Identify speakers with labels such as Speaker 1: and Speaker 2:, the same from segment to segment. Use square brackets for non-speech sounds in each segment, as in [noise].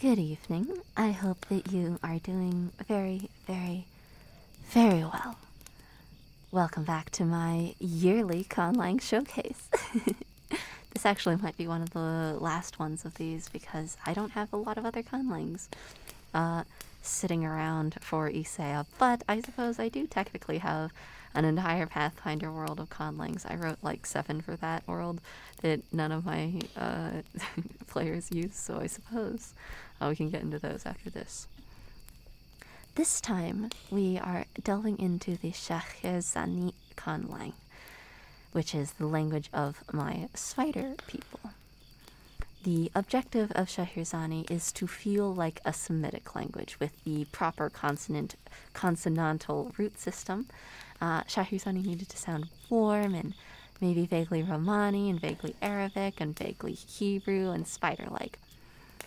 Speaker 1: Good evening. I hope that you are doing very, very, very well. Welcome back to my yearly conlang showcase. [laughs] this actually might be one of the last ones of these because I don't have a lot of other conlangs uh, sitting around for ISA, but I suppose I do technically have an entire Pathfinder world of conlangs. I wrote like seven for that world, that none of my uh, [laughs] players use, so I suppose uh, we can get into those after this. This time, we are delving into the Shahrazani Khanlang, which is the language of my spider people. The objective of Shahirzani is to feel like a Semitic language with the proper consonant consonantal root system. Uh, Shahusani needed to sound warm and maybe vaguely Romani and vaguely Arabic and vaguely Hebrew and spider like.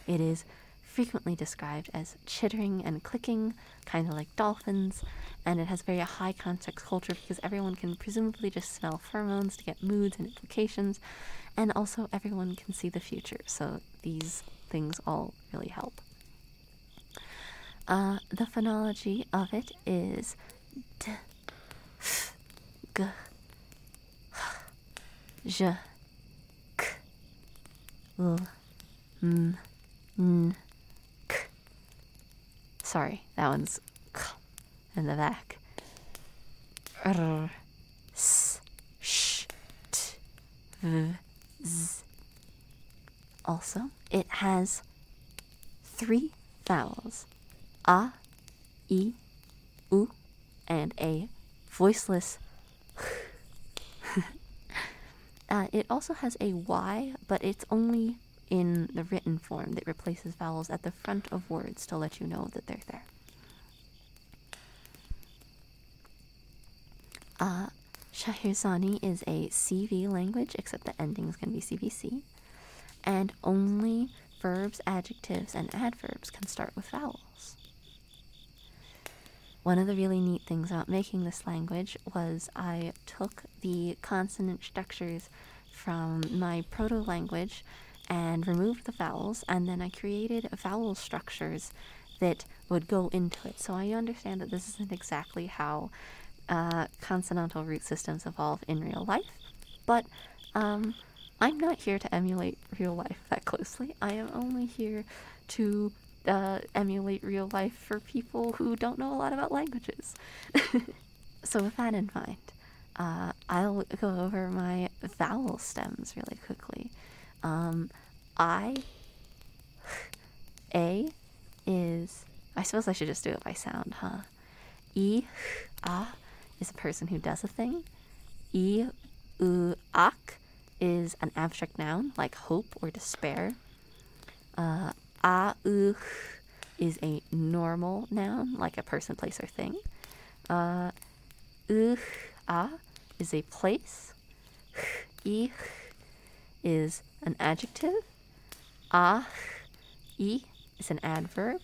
Speaker 1: It is frequently described as chittering and clicking, kind of like dolphins, and it has very high context culture because everyone can presumably just smell pheromones to get moods and implications, and also everyone can see the future, so these things all really help. Uh, the phonology of it is d, f, g, h, j, k, l, m, n, k. Sorry, that one's k in the back. R, s, sh, t, v, z, also, it has three vowels a, e, u, and a voiceless. [laughs] uh, it also has a y, but it's only in the written form that replaces vowels at the front of words to let you know that they're there. Uh, Shahirzani is a CV language, except the endings can be CVC, and only verbs, adjectives, and adverbs can start with vowels. One of the really neat things about making this language was I took the consonant structures from my proto language and removed the vowels, and then I created vowel structures that would go into it. So I understand that this isn't exactly how uh, consonantal root systems evolve in real life, but um, I'm not here to emulate real life that closely. I am only here to uh, emulate real life for people who don't know a lot about languages. [laughs] so, with that in mind, uh, I'll go over my vowel stems really quickly. Um, I [laughs] A is. I suppose I should just do it by sound, huh? E ah is a person who does a thing. E u ak is an abstract noun like hope or despair. Uh, a u is a normal noun like a person, place, or thing. Uh, u a is a place. Ich is an adjective Ach, i is an adverb.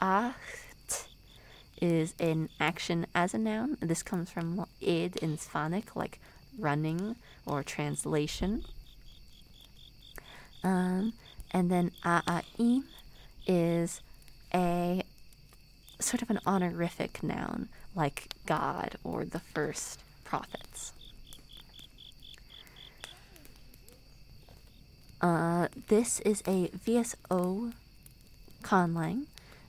Speaker 1: Acht is an action as a noun. This comes from id in Svannik, like running or translation. Um, and then a'a'in is a sort of an honorific noun, like God or the first profits. Uh, this is a VSO conlang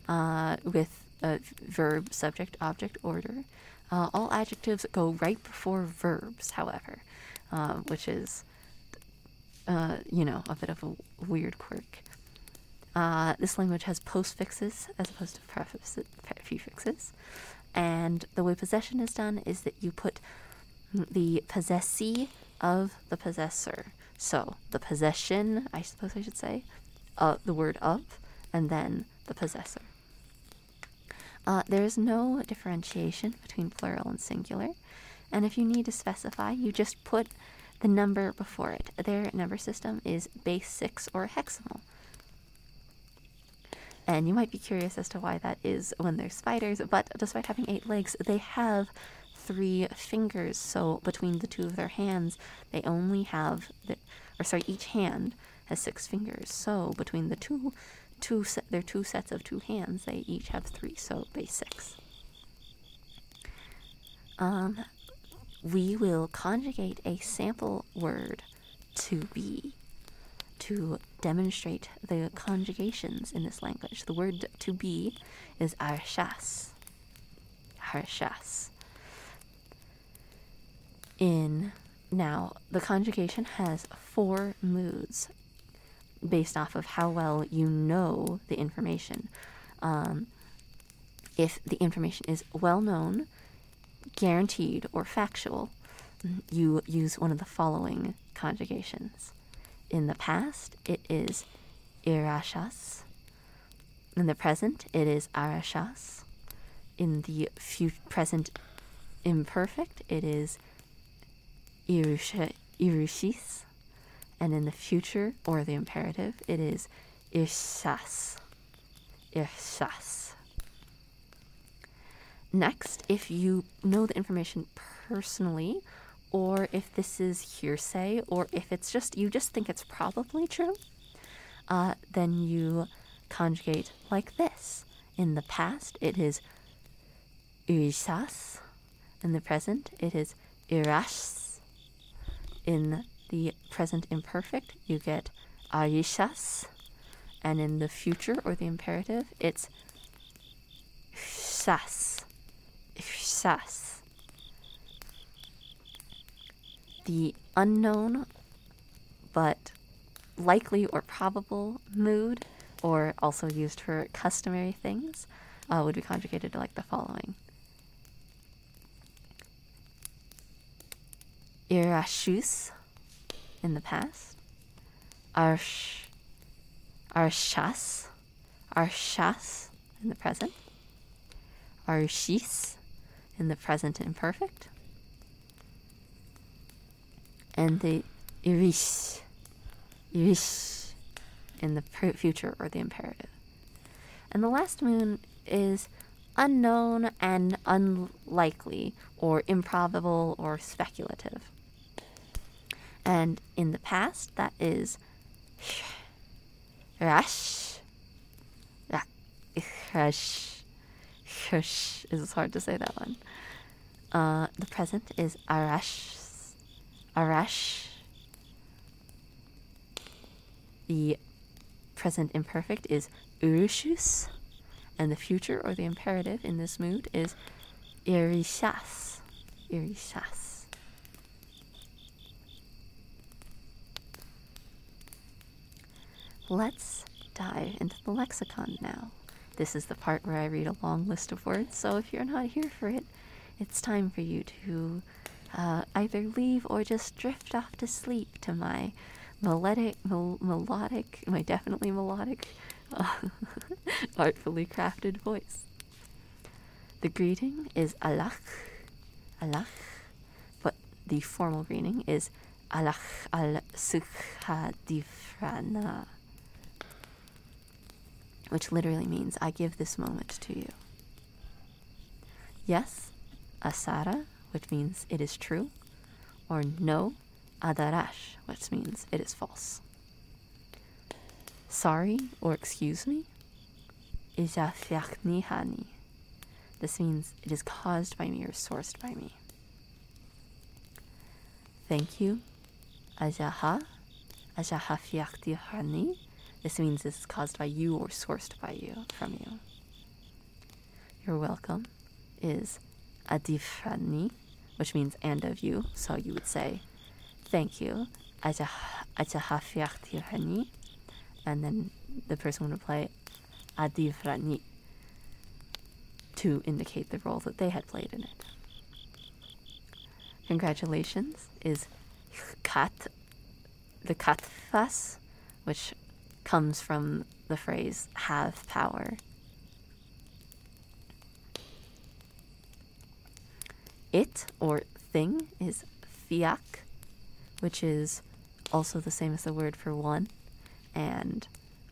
Speaker 1: uh, with a verb, subject, object, order. Uh, all adjectives go right before verbs, however, which is, you know, a bit of a weird quirk. this language has postfixes as opposed to prefixes. And the way possession is done is that you put the possessee of the possessor. So the possession, I suppose I should say, uh, the word of, and then the possessor. Uh, there is no differentiation between plural and singular, and if you need to specify, you just put the number before it. Their number system is base 6 or heximal. And you might be curious as to why that is when they're spiders, but despite having eight legs, they have three fingers. So between the two of their hands, they only have, the, or sorry, each hand has six fingers. So between the two, two their two sets of two hands, they each have three, so base six. Um, we will conjugate a sample word to be, to demonstrate the conjugations in this language. The word to be is arshas. Arshas. In now, the conjugation has four moods based off of how well you know the information. Um, if the information is well known, guaranteed or factual, you use one of the following conjugations. In the past, it is irashas. In the present, it is arashas. In the present imperfect, it is irushis. And in the future, or the imperative, it is irshas. Irshas. Next, if you know the information personally, or if this is hearsay, or if it's just you just think it's probably true, uh, then you conjugate like this. In the past, it is uisas. In the present, it is irashs. In the present imperfect, you get ayishas, and in the future or the imperative, it's Shas. Shas. The unknown but likely or probable mood, or also used for customary things, uh, would be conjugated like the following. Irashus in the past. Arsh, Arshas, Arshas in the present. Arshis in the present imperfect. And the Irish, Irish in the future or the imperative. And the last moon is unknown and unlikely, or improbable or speculative. And in the past, that is rash. Hush. Hush. It's hard to say that one. Uh, the present is arash. Arash. The present imperfect is ursus, and the future or the imperative in this mood is irishas. Irishas. Let's dive into the lexicon now. This is the part where I read a long list of words, so if you're not here for it, it's time for you to uh, either leave or just drift off to sleep to my melodic, mel melodic, I definitely melodic, [laughs] artfully crafted voice. The greeting is ala, ala. but the formal greeting is ala al Sukhadifrana, which literally means I give this moment to you. Yes, Asara, which means it is true, or no, adarash, which means it is false. Sorry or excuse me, ijasyaknihani. This means it is caused by me or sourced by me. Thank you, ajaha, ajahafiakdihani. This means this is caused by you or sourced by you, from you. You're welcome is adifrani, which means and of you. So you would say, thank you, ajahafiakhtirani. And then the person would reply, adifrani, to indicate the role that they had played in it. Congratulations is kat, the katfas, which comes from the phrase have power it or thing is fiak, which is also the same as the word for one, and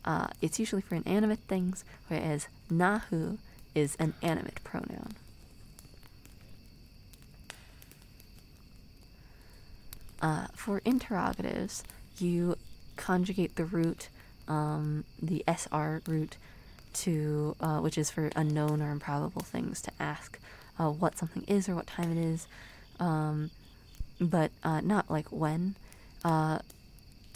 Speaker 1: uh, it's usually for inanimate things, whereas nahu is an animate pronoun. Uh, for interrogatives, you conjugate the root, um, the SR root, to uh, which is for unknown or improbable things to ask uh, what something is or what time it is, um, but uh, not like when.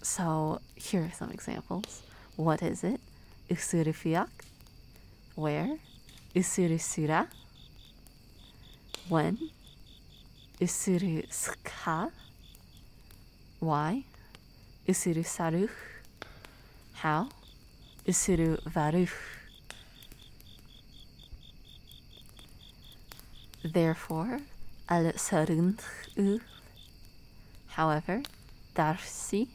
Speaker 1: so here are some examples. What is it? Usurufyak. Where? Usurusura. When? Usuru ska? Why? Usuru saru? How? isuru varu? Therefore, al sarunhu. However, darsi,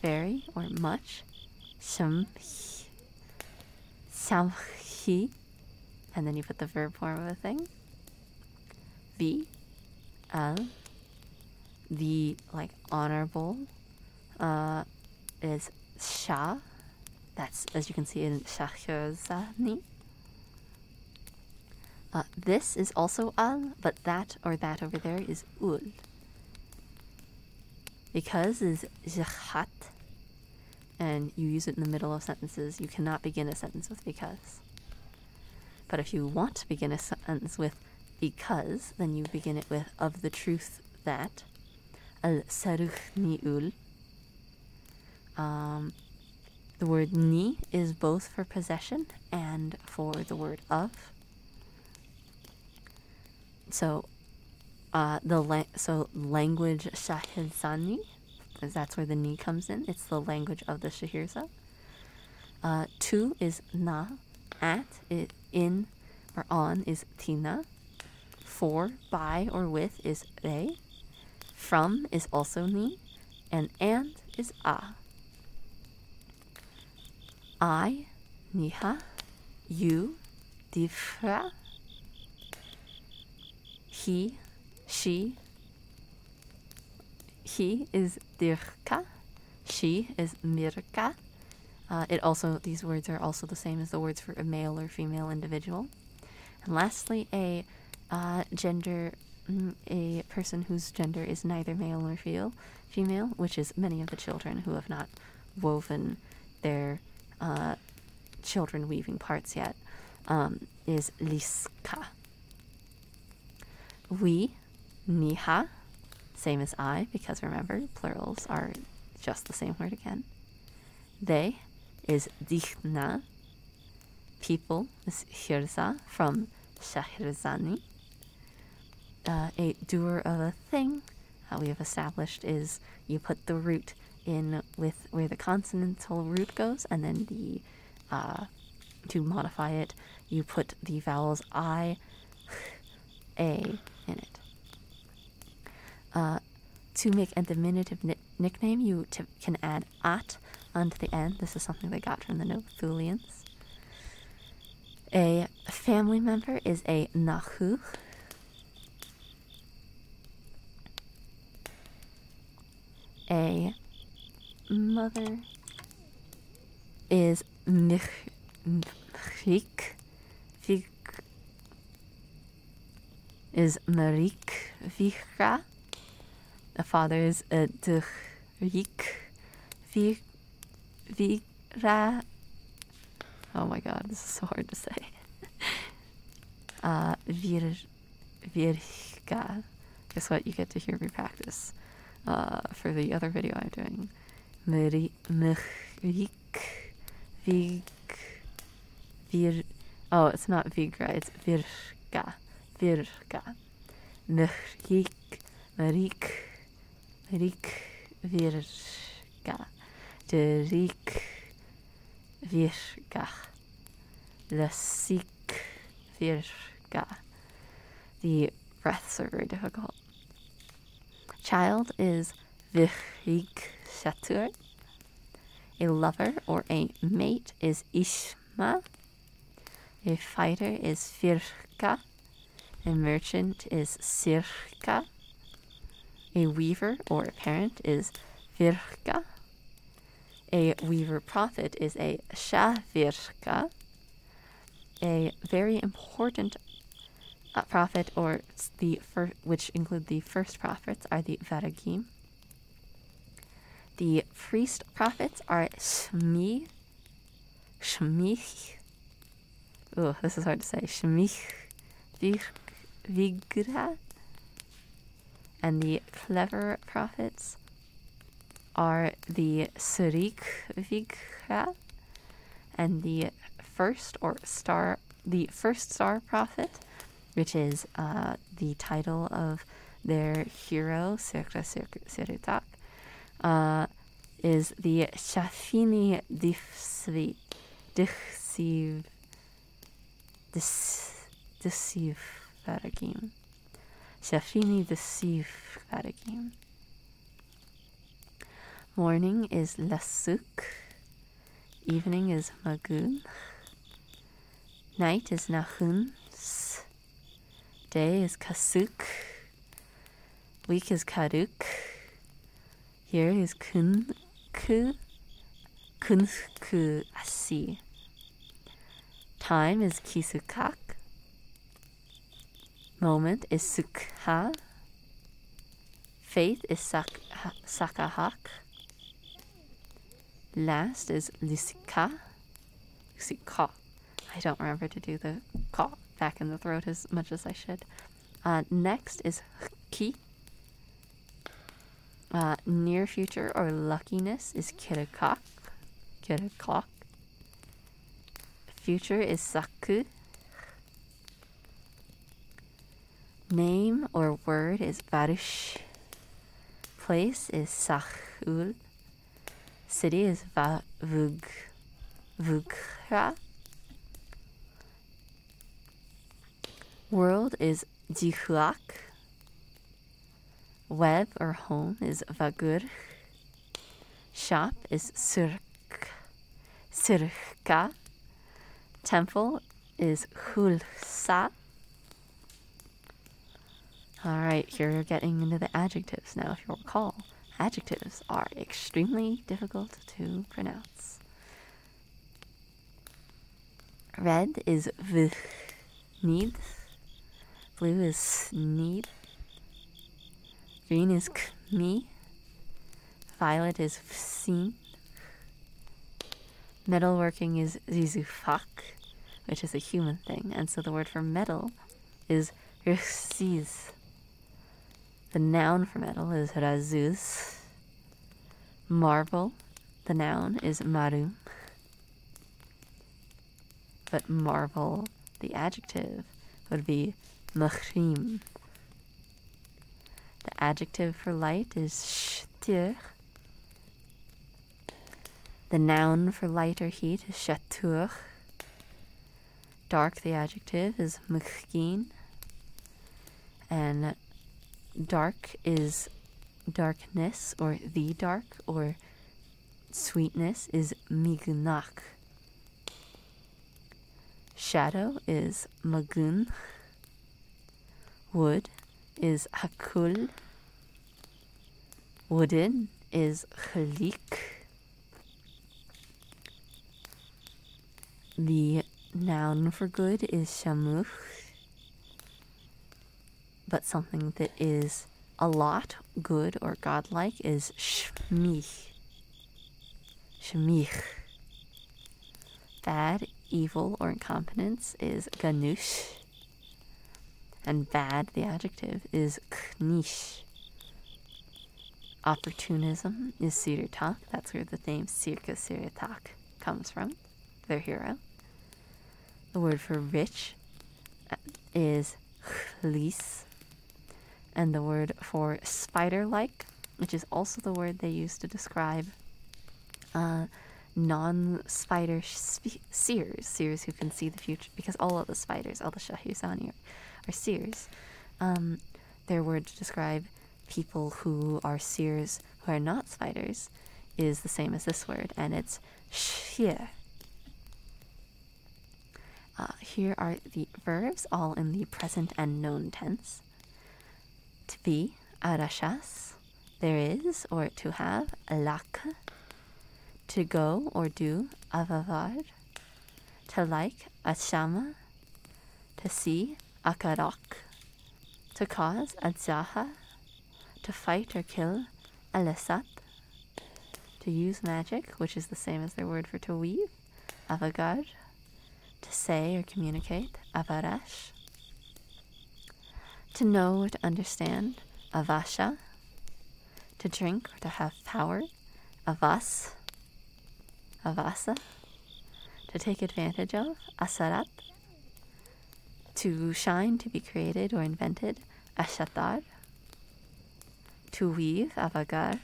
Speaker 1: very or much, samhi, samhi, and then you put the verb form of a thing. The, uh, the like honorable, uh, is shah. That's as you can see in shakhozani. Uh, this is also al, but that or that over there is ul. Because is jahat, and you use it in the middle of sentences, you cannot begin a sentence with because. But if you want to begin a sentence with because, then you begin it with of the truth that. Al saruh ni'ul. Um, the word ni is both for possession and for the word of. So, uh, the la- so language shahidani because that's where the ni comes in. It's the language of the Shahirza. Uh, is na, at, it, in, or on is tina. For, by, or with is re. From is also ni. And and is a. I, niha. You, difra. He, she. He is Dirkka, She is Mirka. Uh, it also these words are also the same as the words for a male or female individual. And lastly, a uh, gender, mm, a person whose gender is neither male nor feel, female, which is many of the children who have not woven their uh, children weaving parts yet. Um, is Liska. We, Niha, same as I, because remember, plurals are just the same word again. They is Dichna. People is Hirza from Shahrizani. Uh, a doer of a thing, how we have established, is you put the root in with where the consonantal root goes, and then the uh, to modify it, you put the vowels i, [laughs] a in it. Uh, to make a diminutive nickname, you can add at onto the end. This is something they got from the Noethulians. A family member is a nachuch a mother is Mirik is Marik Vika. The father is uh, Durik Vira. Oh my god, this is so hard to say. [laughs] uh, Vir Virga. Guess what? You get to hear me practice uh, for the other video I'm doing. Merik, Vig Vir. Oh, it's not Vigra, it's Virga. Virga. merik, merik, merik, Virga. Derik Virga the Sikh Virga. The breaths are very difficult. Child is Chatur. A lover or a mate is Ishma. A fighter is Firka. A merchant is Sirka. A weaver or a parent is Virka. A weaver prophet is a shavirka, a very important uh, prophet, or the which include the first prophets, are the varagim. The priest prophets are shmi, shmich. Oh, this is hard to say. Shmich, vig, vigra, and the clever prophets are the Surikvika and the first or star the first star prophet, which is uh, the title of their hero Sirka Siritak, uh, is the Shafini Difsvi Dichsiv Des deceive again. Shafini deceive again. Morning is Lasuk. Evening is Magun. Night is Nahuns. Day is Kasuk. Week is Karuk. Here is Kunku kunfuku Time is kisukak. Moment is sukha. Faith is sak- sakahak. Last is lisika. Lisika. I don't remember to do the ka back in the throat as much as I should. Uh, next is hki. Uh, near future or luckiness is kirakock. Kirakock. Future is saku. Name or word is varush. Place is sahul. City is va- vug. Vugra. World is jihuak. Web or home is vagur. Shop is surk, Sirka. Temple is hulsa. All right, here we are getting into the adjectives now. If you recall, adjectives are extremely difficult to pronounce. Red is v need. Blue is need. Green is me. Violet is seen. Metalworking is zizufak, which is a human thing, and so the word for metal is rsiz. The noun for metal is razuz. Marble, the noun is marum. But marvel, the adjective, would be machrim. The adjective for light is shtir. The noun for light or heat is shatur. Dark, the adjective, is mchgin. And dark is darkness or the dark or sweetness is mignach. Shadow is magun. Wood is hakul. Wooden is chalik. The noun for good is shamuch but something that is a lot, good, or godlike is shmich. Shmich. Bad, evil, or incompetence is ganush. And bad, the adjective, is knish. Opportunism is sirtak. That's where the name Sirka Sirtak comes from, their hero. The word for rich uh, is chlis. And the word for spider like, which is also the word they use to describe uh, non spider seers, seers who can see the future, because all of the spiders, all the Shahusani, are, seers. Um, their word to describe people who are seers who are not spiders is the same as this word, and it's Xie. Uh, here are the verbs, all in the present and known tense. To be, arashas. There is, or to have, lak. To go or do, avavar. To like, ashama. To see, akarok. To cause, ajaha. To fight or kill, Alessat. To use magic, which is the same as their word for to weave, Avagard. To say or communicate, Avarash. To know or to understand, Avasha. To drink or to have power, Avas. Avasa. To take advantage of, Asarat to shine, to be created or invented, ashatar, to weave, avagar,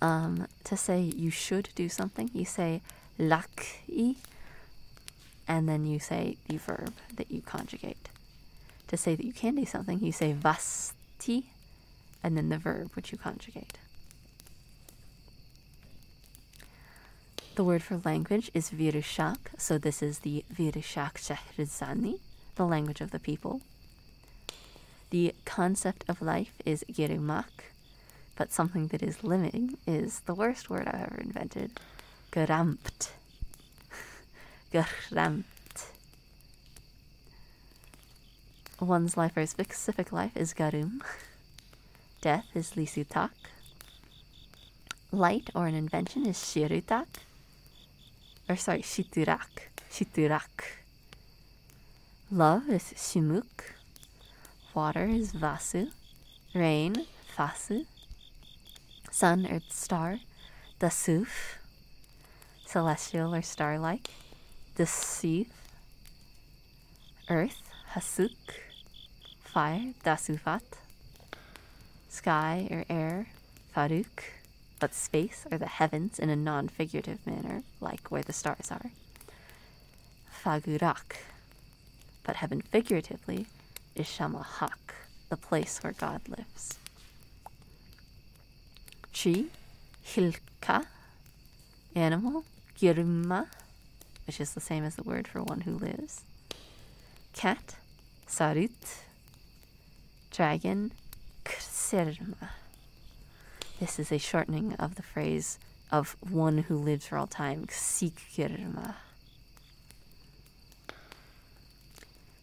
Speaker 1: um, to say you should do something, you say lak i. and then you say the verb that you conjugate. To say that you can do something, you say vasti, and then the verb which you conjugate. The word for language is virushak, so this is the virushak Shahrizani, the language of the people. The concept of life is Girimak, but something that is living is the worst word I've ever invented. Gerampt. [laughs] Gerampt. One's life or specific life is Garum. [laughs] Death is Lisutak. Light or an invention is Shirutak. Or sorry, Shiturak. Shiturak. Love is Shimuk. Water is Vasu. Rain, Fasu. Sun, Earth, Star, Dasuf. Celestial or star-like, Dasif. Earth, Hasuk fire, dasufat. Sky or air, faruk. But space or the heavens in a non figurative manner, like where the stars are. Fagurak. But heaven figuratively is Shamahak, the place where God lives. Tree, hilka. Animal, girma which is the same as the word for one who lives. Cat, sarut. Dragon, ksirma. This is a shortening of the phrase of one who lives for all time, ksikirma.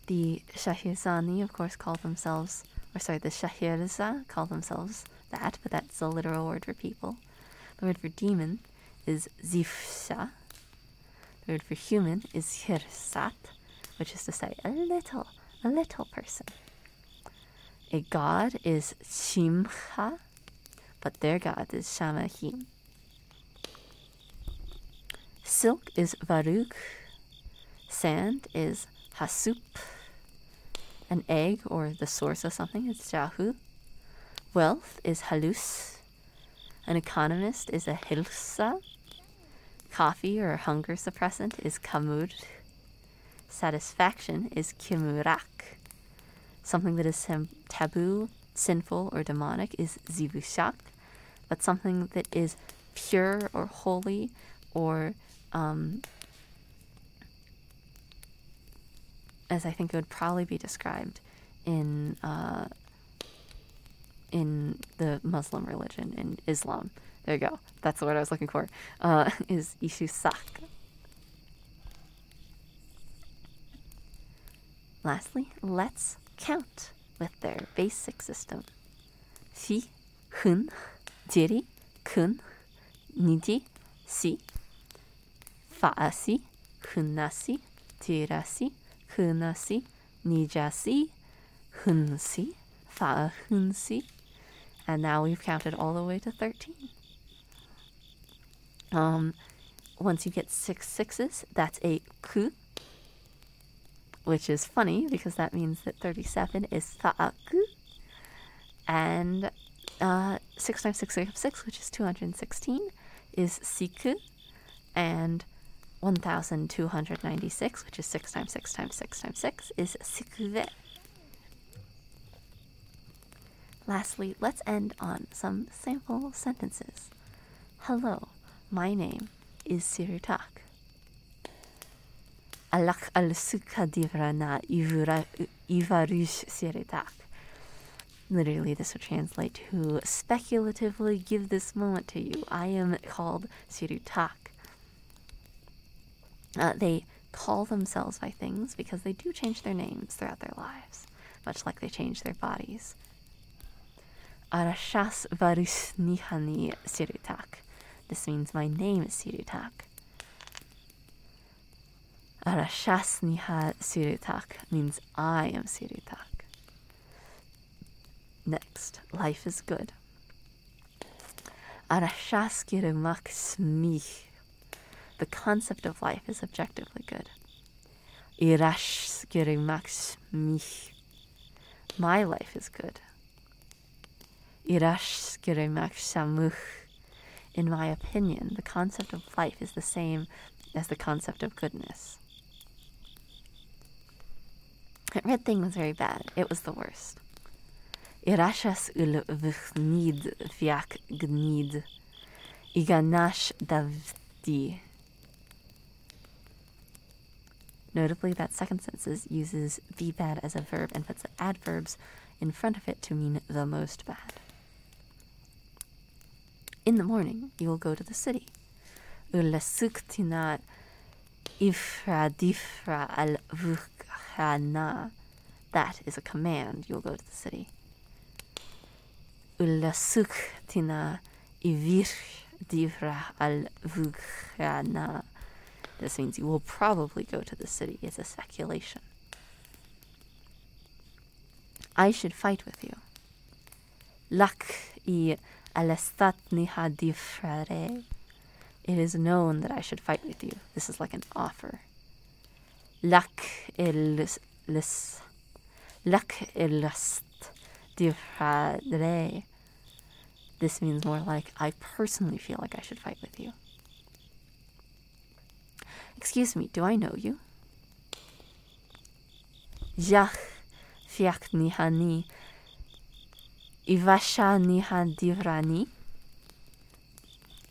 Speaker 1: The Shahirzani, of course, call themselves, or sorry, the Shahirza call themselves that, but that's the literal word for people. The word for demon is zifsha. The word for human is hirsat, which is to say a little, a little person. A god is shimcha, but their god is shamahim. Silk is varuk. Sand is hasup. An egg or the source of something is jahu. Wealth is halus. An economist is a hilsa. Coffee or hunger suppressant is kamud. Satisfaction is kimurak. Something that is taboo, sinful, or demonic is zivushak. But something that is pure or holy or um, as I think it would probably be described in uh, in the Muslim religion in Islam. There you go. That's the word I was looking for. Uh, [laughs] is ishusaq. Lastly, let's count with their basic system. si, hun, diri, kun, niji, si faasi, hunasi, tirasi, hunasi, nijasi, hunsi, Hunsi, And now we've counted all the way to 13. Um, once you get six sixes, that's a ku, which is funny because that means that 37 is ta'aku. And uh, 6 times 6 is 6, which is 216 is siku, and 1296, which is 6 times 6 times 6 times 6, is sikube. Lastly, let's end on some sample sentences. Hello, my name is Sirutak. Alak al suka divra na ivarush Sirutak. Literally, this would translate to speculatively give this moment to you. I am called Sirutak. Uh, they call themselves by things because they do change their names throughout their lives, much like they change their bodies. Arashas Varusnihani Sirutak. This means my name is Sirutak. Arashasniha Siritak means I am Siritak. Next, life is good. Arashaskirumak smich. The concept of life is objectively good. Irashskirumak smich. My life is good. Irashskirumak samuch. In my opinion, the concept of life is the same as the concept of goodness. That red thing was very bad. It was the worst. Irashas ul vchnid fiak gnid. Iganash davdi. Notably, that second sentence uses the bad as a verb and puts adverbs in front of it to mean the most bad. In the morning, you will go to the city. Ulasuktina ifradifra al vukhana. That is a command. You will go to the city. Ulasuktina ivirdivra al vukhana. This means you will probably go to the city. It's a speculation. I should fight with you. Lak i alastatniha difrare. It is known that I should fight with you. This is like an offer. Lak il lis Lak ilast difrare. This means more like I personally feel like I should fight with you. Excuse me, do I know you? Jach fiak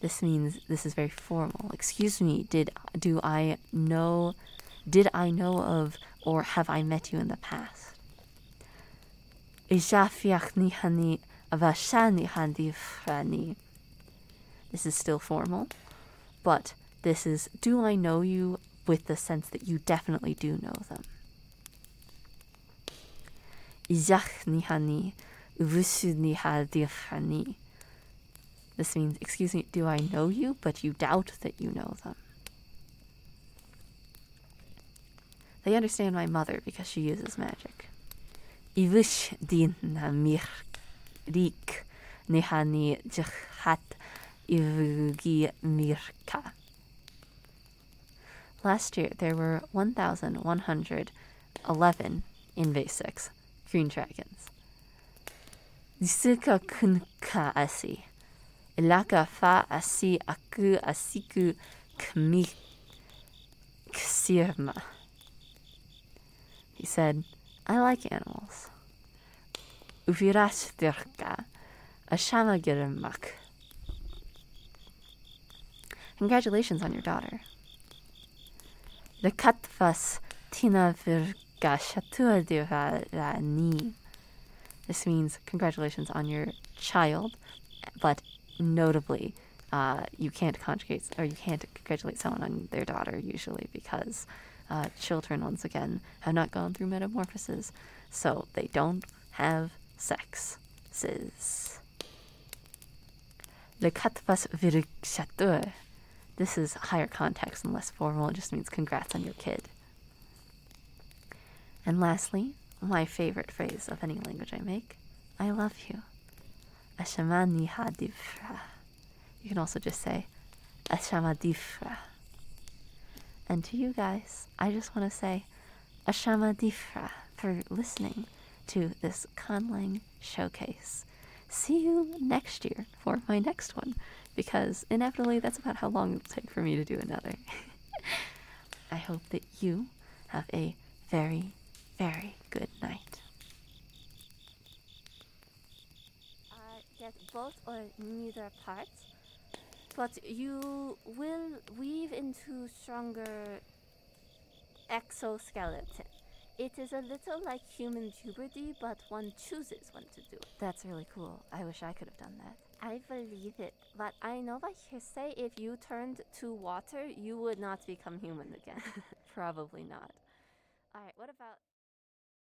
Speaker 1: This means this is very formal. Excuse me, did do I know did I know of or have I met you in the past? Isha fiak This is still formal but this is do I know you with the sense that you definitely do know them. This means, excuse me, do I know you, but you doubt that you know them. They understand my mother because she uses magic. Ivish dinamik nihani jhat Ivgimirka. Last year, there were 1,111 invasives, green dragons. Zika kunka asi. Ilaka fa asi aku asiku kmi ksirma. He said, I like animals. 위라시들까 ashanagirimmak. Congratulations on your daughter. The katvas tina virgashatuadivani. This means congratulations on your child, but notably, uh, you can't conjugate or you can't congratulate someone on their daughter usually because uh, children, once again, have not gone through metamorphoses, so they don't have sexes. Le katpas virkshatur. This is higher context and less formal. It just means congrats on your kid. And lastly, my favorite phrase of any language I make I love you. Ashama ni hadivra. You can also just say Ashamadifra. And to you guys, I just want to say Ashamadifra for listening to this Kanlang showcase. See you next year for my next one, because inevitably that's about how long it'll take for me to do another. [laughs] I hope that you have a very, very good night. Uh, get both or neither part, but you will weave into stronger exoskeleton. It is a little like human puberty, but one chooses when to do it. That's really cool. I wish I could have done that. I believe it, but I know by hearsay if you turned to water, you would not become human again. [laughs] Probably not. Alright, what about.